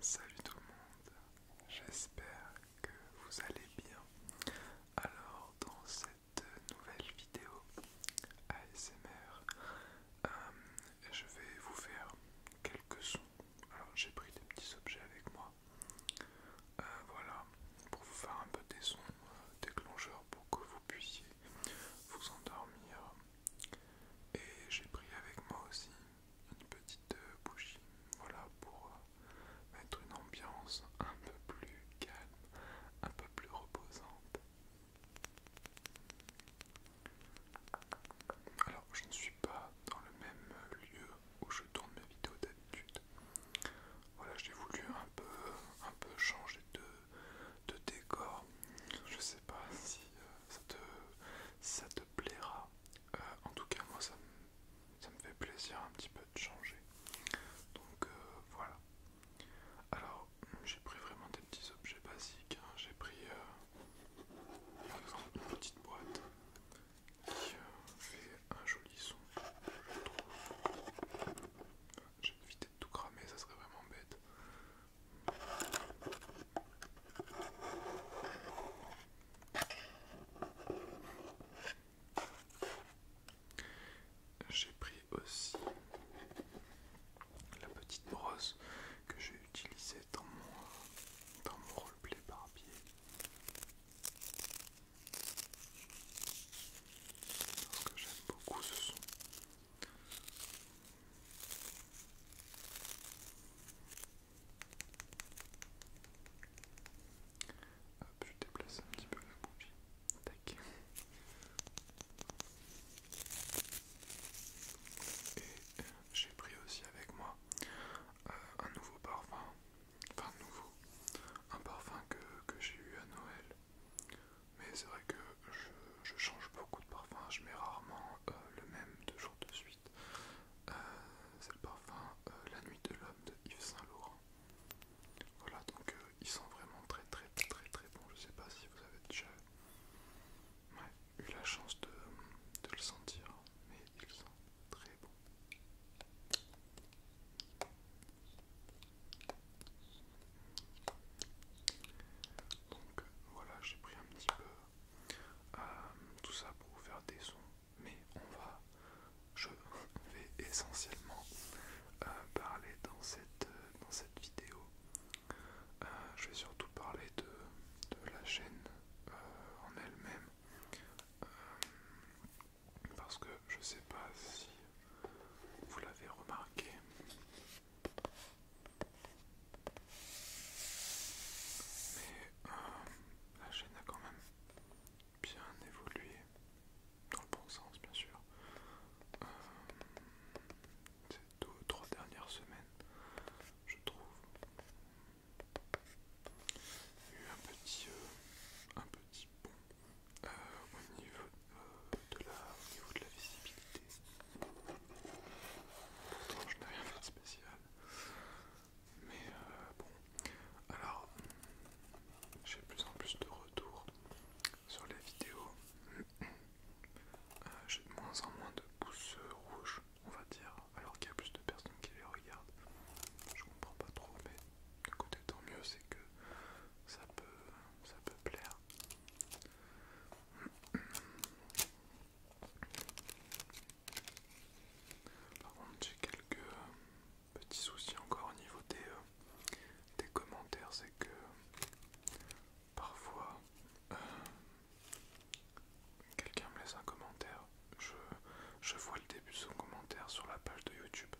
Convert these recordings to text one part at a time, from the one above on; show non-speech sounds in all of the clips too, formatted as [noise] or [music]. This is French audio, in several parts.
Salut tout le monde, j'espère que vous allez bien. Alors dans cette nouvelle vidéo ASMR, euh, je vais vous faire quelques sons. Alors j'ai pris des petits objets avec moi. Euh, voilà, pour vous faire un peu des sons euh, déclencheurs pour que vous puissiez vous endormir. Et j'ai pris avec moi aussi une petite euh, bougie, voilà pour euh, mettre une ambiance un peu plus calme, un peu plus reposante. Alors je ne suis pas dans le même lieu où je tourne mes vidéos d'habitude. Voilà, j'ai voulu un peu, un peu changer de, décor. Je sais pas si euh, ça te plaira euh, en tout cas, moi, ça me, fait plaisir un petit peu de changer. Donc euh, voilà. Alors, j'ai pris vraiment des petits objets basiques. Hein. J'ai pris euh, par exemple une petite boîte qui fait un joli son, je trouve. J'ai évité de tout cramer, ça serait vraiment bête. J'ai pris aussi la petite brosse que j'ai utilisée dans mon, dans mon roleplay barbier. Parce que j'aime beaucoup ce son je déplace un petit peu la Tac. Et euh, j'ai pris aussi avec moi euh, un nouveau parfum. Enfin nouveau. Un parfum que, j'ai eu à Noël. Mais c'est vrai que je, change beaucoup de parfums, Je mets rarement euh, le même deux jours de suite. Euh, c'est le parfum euh, La Nuit de l'Homme de Yves Saint Laurent. Voilà, donc ils euh, il sent vraiment très très très très bon. Je sais pas si vous avez déjà eu la chance de, de le sentir, mais il sent très bon. Donc voilà, j'ai pris un petit peu euh, tout ça pour vous faire des sons, mais on va, je vais essentiellement euh, parler dans cette, dans cette vidéo. Euh, je vais surtout parler de, de la chaîne en elle-même, parce que je sais pas si vous l'avez remarqué. Mais euh, la chaîne a quand même bien évolué, dans le bon sens bien sûr. Euh, ces deux ou trois dernières semaines, je trouve, eu un petit, euh, un petit euh, au, niveau, de la, au niveau de la visibilité. Pourtant, je n'ai rien fait de spécial. Mais euh, bon, alors j'ai de plus en plus de retours sur les vidéos. Euh, j'ai de moins en moins de pouces rouges, on va dire, alors qu'il y a plus de personnes qui les regardent. Je comprends pas trop, mais écoutez tant mieux, c'est que ça peut, ça peut plaire. Par contre, j'ai quelques euh, petits soucis encore au niveau des, euh, des commentaires, c'est que parfois euh, quelqu'un me laisse un commentaire, je, vois le début de son commentaire sur la page de YouTube,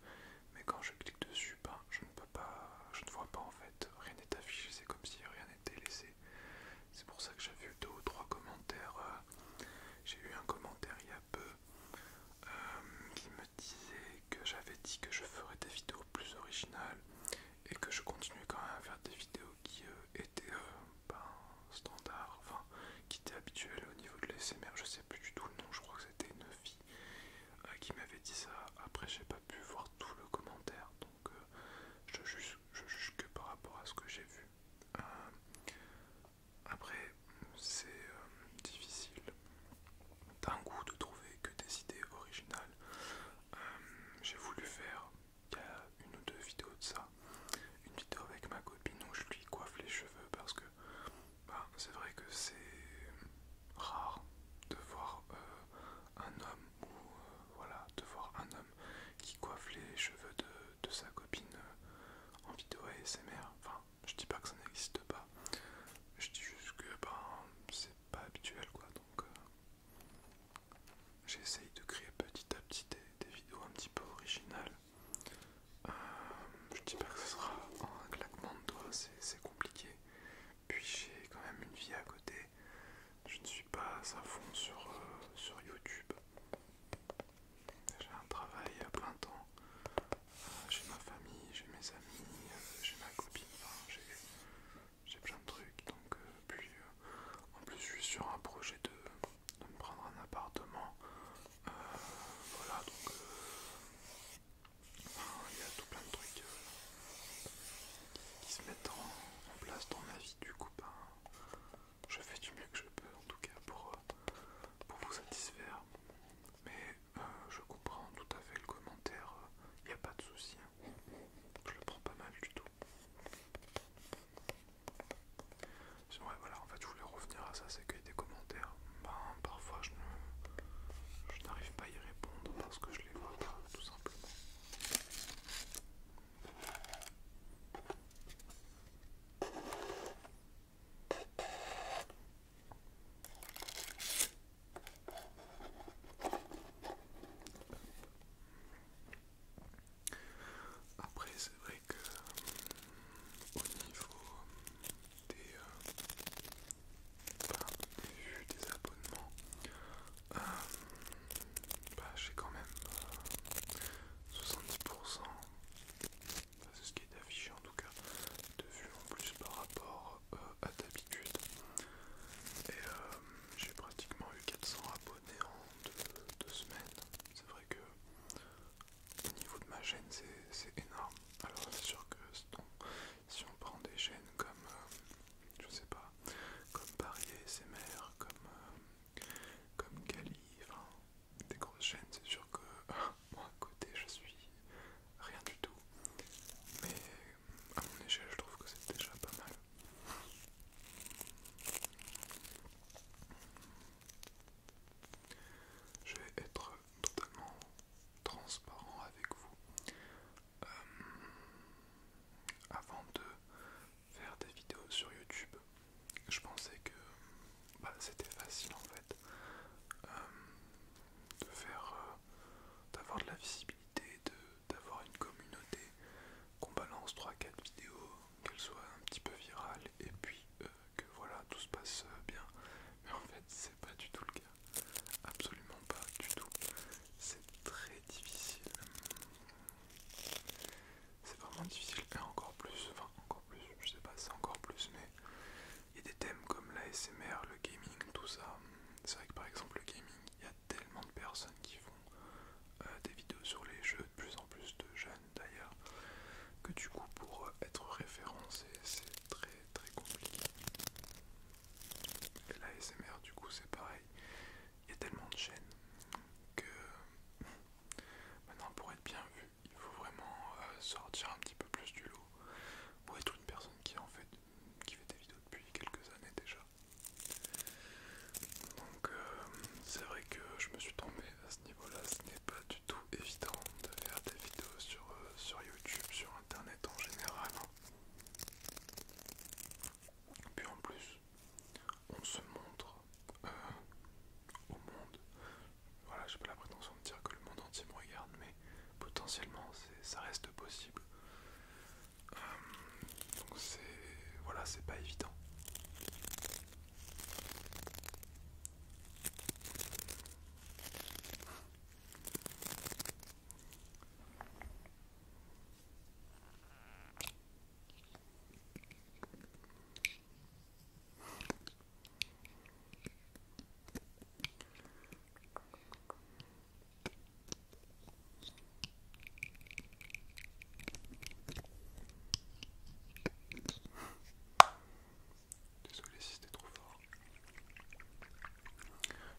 mais quand je clique dessus, ben, je ne peux pas, je ne vois pas en fait, rien n'est affiché, c'est comme si rien n'était laissé c'est pour ça que j'ai vu deux ou trois commentaires. Euh, j'ai eu un commentaire il y a peu euh, qui me disait que j'avais dit que je ferais des vidéos plus originales et que je continuais quand même à faire des vidéos qui euh, étaient ben, standard, standards, enfin qui étaient habituelles au niveau de l'ASMR. Je sais plus du tout le nom, je crois que c'était une fille qui m'avait dit ça. Après, j'ai pas pu voir tout le commentaire donc euh, je, juge, que par rapport à ce que j'ai vu. Euh, après, c'est euh, difficile d'un goût de trouver que des idées originales. j'ai voulu faire, il y a une ou deux vidéos de ça, une vidéo avec ma copine où je lui coiffe les cheveux parce que bah, c'est vrai que c'est rare de voir un homme ou voilà de voir un homme qui coiffe les cheveux de, sa copine euh, en vidéo ASMR. Enfin, je dis pas que ça n'existe pas, je dis juste que ben, c'est pas habituel quoi. Donc, euh, j'essaye de créer petit à petit des, vidéos un petit peu originales. Euh, je dis pas que ce sera un claquement de doigts, c'est compliqué. Puis j'ai quand même une vie à côté, je ne suis pas à fond euh, sur, YouTube. J'ai un travail à plein temps. Euh, j'ai ma famille, j'ai mes amis, euh, j'ai ma copine, j'ai plein de trucs. Donc, puis, en plus, je suis sur un projet de, me prendre un appartement. voilà, donc il y a tout plein de trucs qui se mettent en, place dans ma vie. Du coup, ben, je fais du mieux que je peux en tout cas pour, euh, vous satisfaire. Mais euh, je comprends tout à fait le commentaire, il euh, n'y a pas de souci. Hein. Je le prends pas mal du tout. voilà, en fait, je voulais revenir à ça, c'est qu'il y a des commentaires. Ben, parfois, je n'arrive pas à y répondre parce que je les vois pas, tout simplement. Après, c'est vrai que hum, au niveau des, euh, des abonnements, euh, bah, j'ai quand même 70%, euh, bah, c'est ce qui est affiché en tout cas, de vues en plus par rapport euh, à d'habitude. Et j'ai pratiquement eu 400 abonnés en deux, semaines. C'est vrai que au niveau de ma chaîne, c'est énorme. Alors c'est sûr que si on prend des chaînes comme, je sais pas, comme parier ses SMR, comme comme Cali, des grosses chaînes, c'est sûr que [laughs] moi à côté je suis rien du tout, mais à mon échelle je trouve que c'est déjà pas mal. Je vais être totalement transparent avec vous. Euh, avant de faire des vidéos sur YouTube, je pensais que bah, c'était facile en fait euh, de faire, euh, d'avoir de la visibilité, d'avoir une communauté, qu'on balance 3-4 vidéos, qu'elles soient un petit peu virales et puis euh, que voilà tout se passe bien. Mais en fait c'est pas du tout le cas, absolument pas du tout. C'est très difficile. C'est vraiment difficile. Et encore plus, enfin encore plus, je sais pas, c'est encore plus, mais il y a des thèmes comme l'ASMR, le gaming, tout ça. C'est vrai que par exemple le gaming, il y a tellement de personnes qui font euh, des vidéos sur les jeux, de plus en plus de jeunes d'ailleurs, que du coup pour euh, être référencé, c'est très très compliqué. l'ASMR du coup c'est pareil. Il y a tellement de chaînes, que maintenant pour être bien vu, il faut vraiment euh, sortir un petit peu plus du lot pour être une personne qui en fait qui fait des vidéos depuis quelques années déjà. Donc euh, c'est vrai que je me suis tombé à ce niveau-là, ce n'est pas du tout évident de faire des vidéos sur, euh, sur YouTube, sur internet en général. Hein. Puis en plus, on se montre euh, au monde. Voilà, j'ai pas la prétention de dire que le monde entier me regarde, mais potentiellement, ça reste possible. Euh, donc c'est voilà, c'est pas évident. Désolé si c'était trop fort.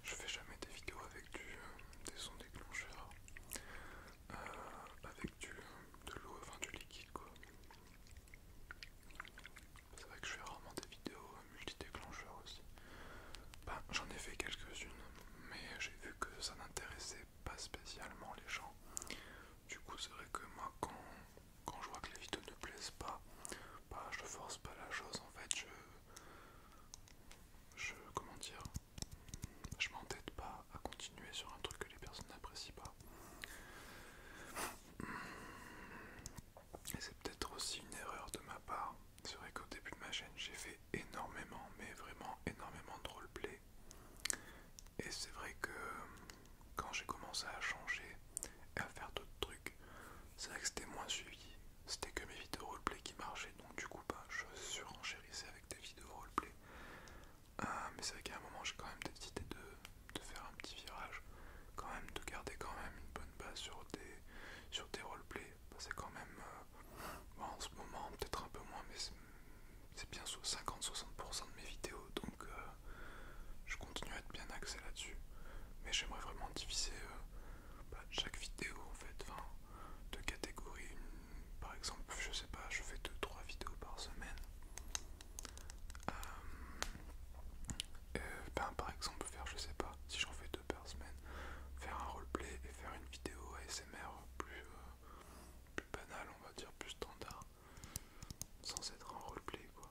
Je fais jamais des vidéos avec du, euh, des sons déclencheurs. Euh, avec de l'eau, enfin du liquide quoi. C'est vrai que je fais rarement des vidéos multi-déclencheurs aussi. Ben, j'en ai fait quelques-unes, mais j'ai vu que ça n'intéressait pas spécialement les gens. Du coup, c'est vrai que moi, quand, quand je vois que les vidéos ne plaisent pas, bah, je force pas la chose en fait. Je, je comment dire je m'entête pas à continuer sur un truc que les personnes n'apprécient pas. c'est peut-être aussi une erreur de ma part. C'est vrai qu'au début de ma chaîne, j'ai fait énormément, mais vraiment énormément de roleplay. Et c'est vrai que quand j'ai commencé à changer et à faire d'autres trucs, c'est vrai que c'était moins suivi. C'était que mes vidéos roleplay qui marchaient, donc du coup, bah, je surenchérissais des vidéos roleplay. Euh, mais c'est vrai qu'à un moment j'ai quand même décidé de, faire un petit virage, quand même de garder quand même une bonne base sur des, sur des roleplay. Bah, c'est quand même euh, bah, en ce moment peut-être un peu moins, mais c'est bien 50-60% de mes vidéos, donc euh, je continue à être bien axé là-dessus. Mais j'aimerais vraiment diviser bah, chaque vidéo en fait, de catégorie, par exemple, je sais pas, je fais 2-3 vidéos par semaine. Euh, euh, ben, par exemple, faire, je sais pas, si j'en fais deux par semaine, faire un roleplay et faire une vidéo ASMR plus, euh, plus banale, on va dire, plus standard, sans être un roleplay quoi.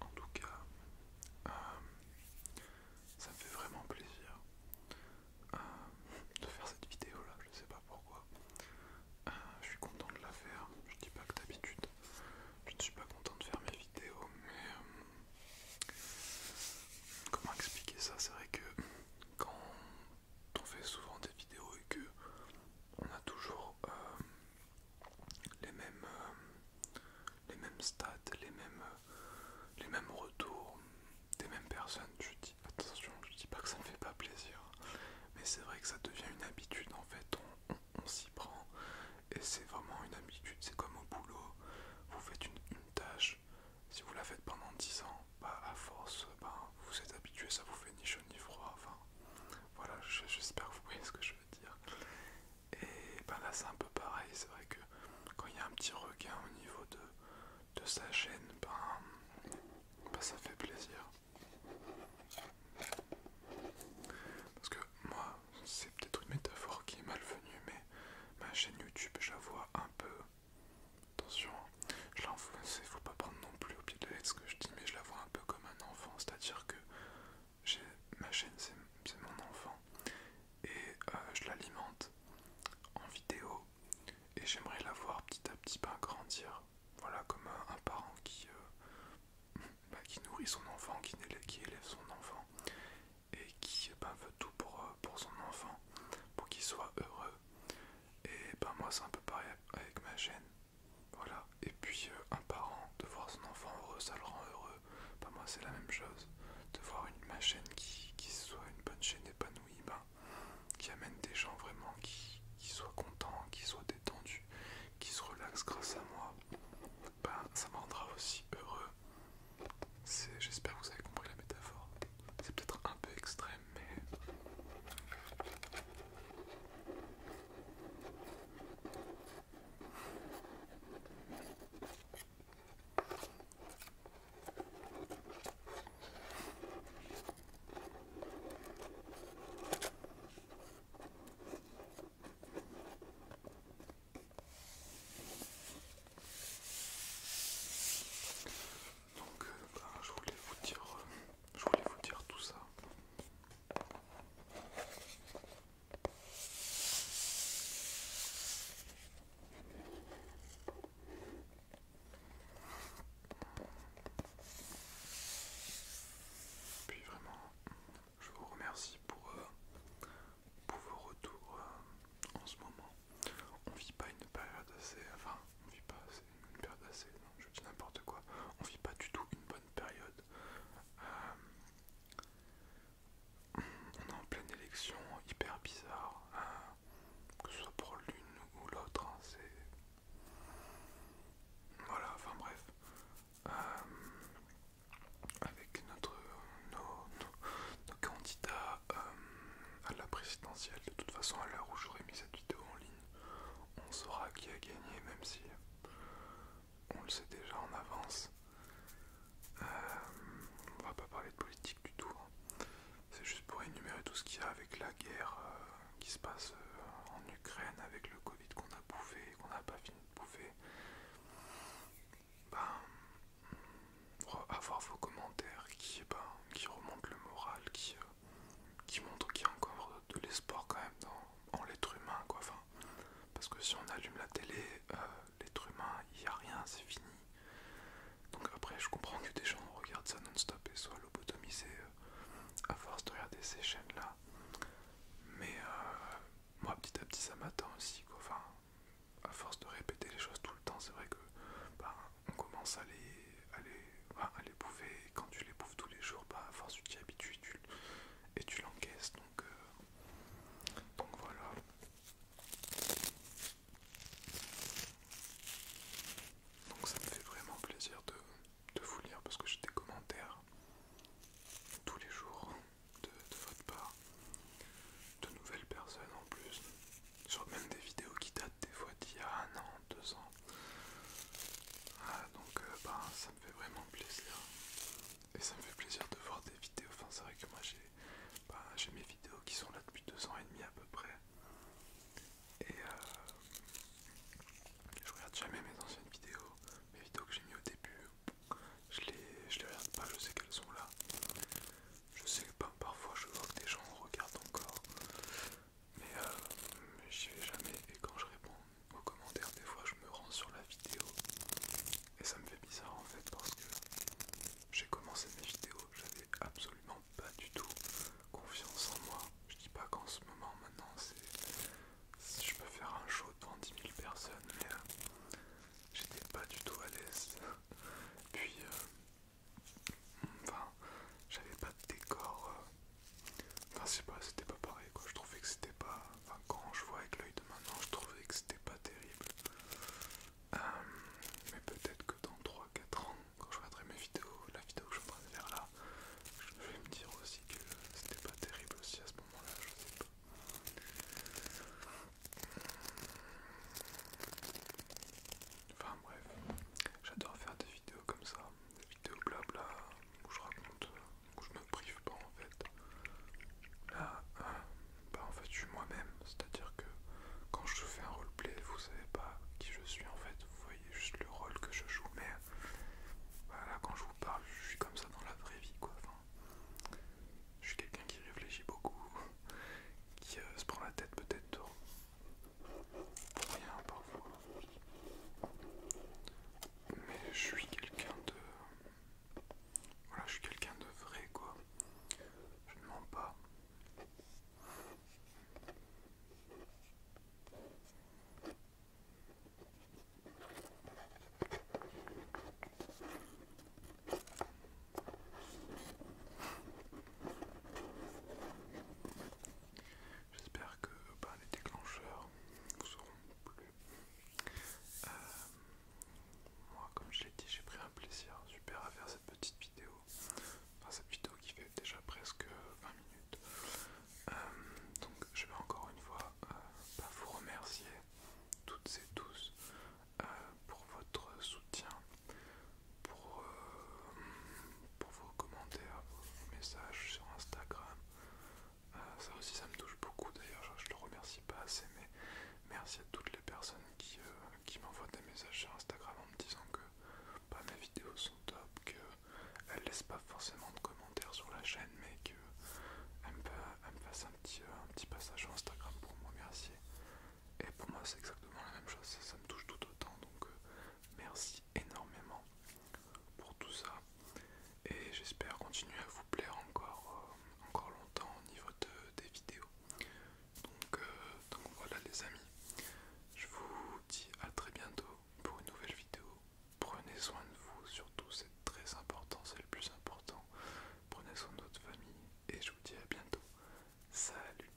En tout cas, euh, ça me fait vraiment plaisir euh, de faire cette vidéo là, je ne sais pas pourquoi. Euh, je suis content de la faire, je ne dis pas que d'habitude je ne suis pas content de faire mes vidéos, mais comment expliquer ça C'est vrai que quand on fait souvent des vidéos et que on a toujours euh, les mêmes euh, les mêmes stats, euh, les mêmes retours des mêmes personnes. Je dis attention, je dis pas que ça ne fait pas plaisir, mais c'est vrai que ça devient une habitude en fait. On, s'y prend et c'est vraiment une habitude. C'est comme au boulot, vous faites une, tâche. Si vous la faites pendant 10 ans, bah à force, ben, vous êtes habitué, ça vous fait ni chaud ni froid. Enfin, voilà, j'espère que vous voyez ce que je veux dire. Et ben là, c'est un peu pareil. C'est vrai que quand il y a un petit regain au niveau de, de sa chaîne, ben, ben ça fait plaisir. Parce que moi, c'est peut-être une métaphore qui est malvenue, mais ma chaîne YouTube, je la vois un peu Attention, je l'enfonce, faut pas prendre non plus au pied de la ce que je dis, mais je la vois un peu comme un enfant, c'est-à-dire que ma chaîne c'est mon enfant et euh, je l'alimente en vidéo et j'aimerais la voir petit à petit ben, grandir. Voilà, comme un, parent euh, [laughs] bah, qui, nourrit son enfant, qui élève, son enfant et qui ben, veut tout euh, pour son enfant, pour qu'il soit heureux. Et ben moi c'est un peu pareil avec ma chaîne. Voilà. Et puis euh, un parent, de voir son enfant heureux, ça le rend heureux. Ben moi c'est la même chose. De voir une, ma chaîne qui, soit une bonne chaîne épanouie, ben, qui amène des gens vraiment qui, qui soient contents, qui soient détendus, qui se relaxent grâce à moi, ben ça me rendra aussi heureux. J'espère que vous avez compris la métaphore. C'est peut-être un peu extrême, mais... Donc euh, bah, je voulais vous dire euh, je voulais vous dire tout ça. Puis vraiment, je vous remercie pour, euh, vos retours en ce moment. On vit pas une période assez. Enfin, on vit pas une période assez. je dis n'importe quoi. On vit pas du tout une bonne période. Euh, on est en pleine élection, hyper bizarre. Hein. que ce soit pour l'une ou l'autre, hein, c'est. Voilà, enfin bref. Euh, avec notre, nos, candidats euh, à la présidentielle, de toute façon, à l'heure où j'aurai mis cette vidéo en ligne, on saura qui a gagné, même si on le sait déjà en avance. Euh, on va pas parler de politique du tout. Hein. C'est juste pour énumérer tout ce qu'il y a avec la guerre euh, qui se passe euh, en Ukraine, avec le Covid qu'on a bouffé et qu'on n'a pas fini de bouffer. Ben, avoir vos commentaires ben, qui, remontent le moral, qui, qui montre qu'il y a encore de l'espoir quand même en l'être humain quoi. Enfin, parce que si on allume la télé, euh, l'être humain, il n'y a rien, c'est fini. Donc après je comprends que des gens regardent ça non-stop et soient lobotomisés euh, à force de regarder ces chaînes là. Mais euh, moi petit à petit ça m'attend aussi quoi. Enfin, à force de répéter les choses tout le temps, c'est vrai que ben, on commence à les, bouffer. quand tu les bouffes tous les jours, bah, force tu t'y habitues et tu l'encaisses. Donc, euh, donc voilà. Donc ça me fait vraiment plaisir de, vous lire parce que j'ai des commentaires tous les jours de votre part, de nouvelles personnes en plus sur même des vidéos qui datent des fois d'il y a un an, deux ans. Ah, donc euh, ben, ça me fait vraiment plaisir. Et ça me fait plaisir de voir des vidéos. Enfin c'est vrai que moi j'ai ben, mes vidéos qui sont là depuis deux ans et demi à peu près. Et euh, je regarde jamais mes anciennes vidéos. Mes vidéos que j'ai mis au début, je les, les regarde pas, je sais qu'elles sont là. Je sais que ben, parfois je vois que des gens regardent encore mais, euh, j'y vais jamais. Et quand je réponds aux commentaires, des fois je me rends sur la vidéo et ça me fait bizarre en fait parce que j'ai commencé mes vidéos, j'avais absolument pas du tout confiance en moi. Je dis pas qu'en ce moment maintenant c'est je peux faire un show devant 10 000 personnes, mais euh, j'étais pas du tout à l'aise. [laughs] Puis euh, Enfin, j'avais pas de décor. Euh. Enfin, je pas, c'était pas pareil quoi. Je trouvais que c'était pas. Enfin, quand je vois avec l'œil de maintenant, je trouvais que c'était pas terrible. Euh, mais peut-être que dans 3-4 ans, quand je regarderai mes vidéos, la vidéo que je vais faire là, je vais me dire aussi que c'était pas terrible aussi à ce moment-là, je sais pas. Enfin bref, j'adore faire des vidéos comme ça, des vidéos blabla où je raconte, où je me prive pas en fait. Là, euh, bah en fait je suis moi-même, c'est-à-dire que quand je fais un roleplay, vous savez pas qui je suis en fait, vous voyez juste le rôle que je joue, mais voilà, bah, quand je vous parle, je suis comme ça dans la vraie vie quoi. je suis quelqu'un qui réfléchit beaucoup, [laughs] qui euh, se prend la tête peut-être Bien parfois. Mais je suis quelqu'un de. Voilà, je suis quelqu'un de vrai quoi. Je ne mens pas. J'espère que bah, les déclencheurs vous seront plu. Euh, moi, comme je l'ai dit, j'ai pris un plaisir super à faire cette petite vidéo. Enfin, cette vidéo qui fait déjà presque 20 minutes. Euh, donc, je vais encore une fois euh, bah, vous remercier toutes et tous pour votre soutien, euh, pour, vos commentaires, vos messages sur Instagram. Euh, ça aussi, ça me touche beaucoup d'ailleurs, je, le remercie pas assez, mais merci à toutes les personnes qui, euh, qui m'envoient des messages sur Instagram en me disant que bah, mes vidéos sont top, qu'elles laissent pas forcément de commentaires sur la chaîne, mais qu'elles me, me fassent un petit, un petit passage sur Instagram pour me remercier. Et pour moi, c'est exactement la même chose, ça, me touche tout autant, donc Merci énormément pour tout ça. Et j'espère continuer à vous plaire encore, euh, encore longtemps au niveau de, des vidéos. Donc, euh, donc voilà les amis. Je vous dis à très bientôt pour une nouvelle vidéo. Prenez soin de vous, surtout c'est très important, c'est le plus important. Prenez soin de votre famille et je vous dis à bientôt. Salut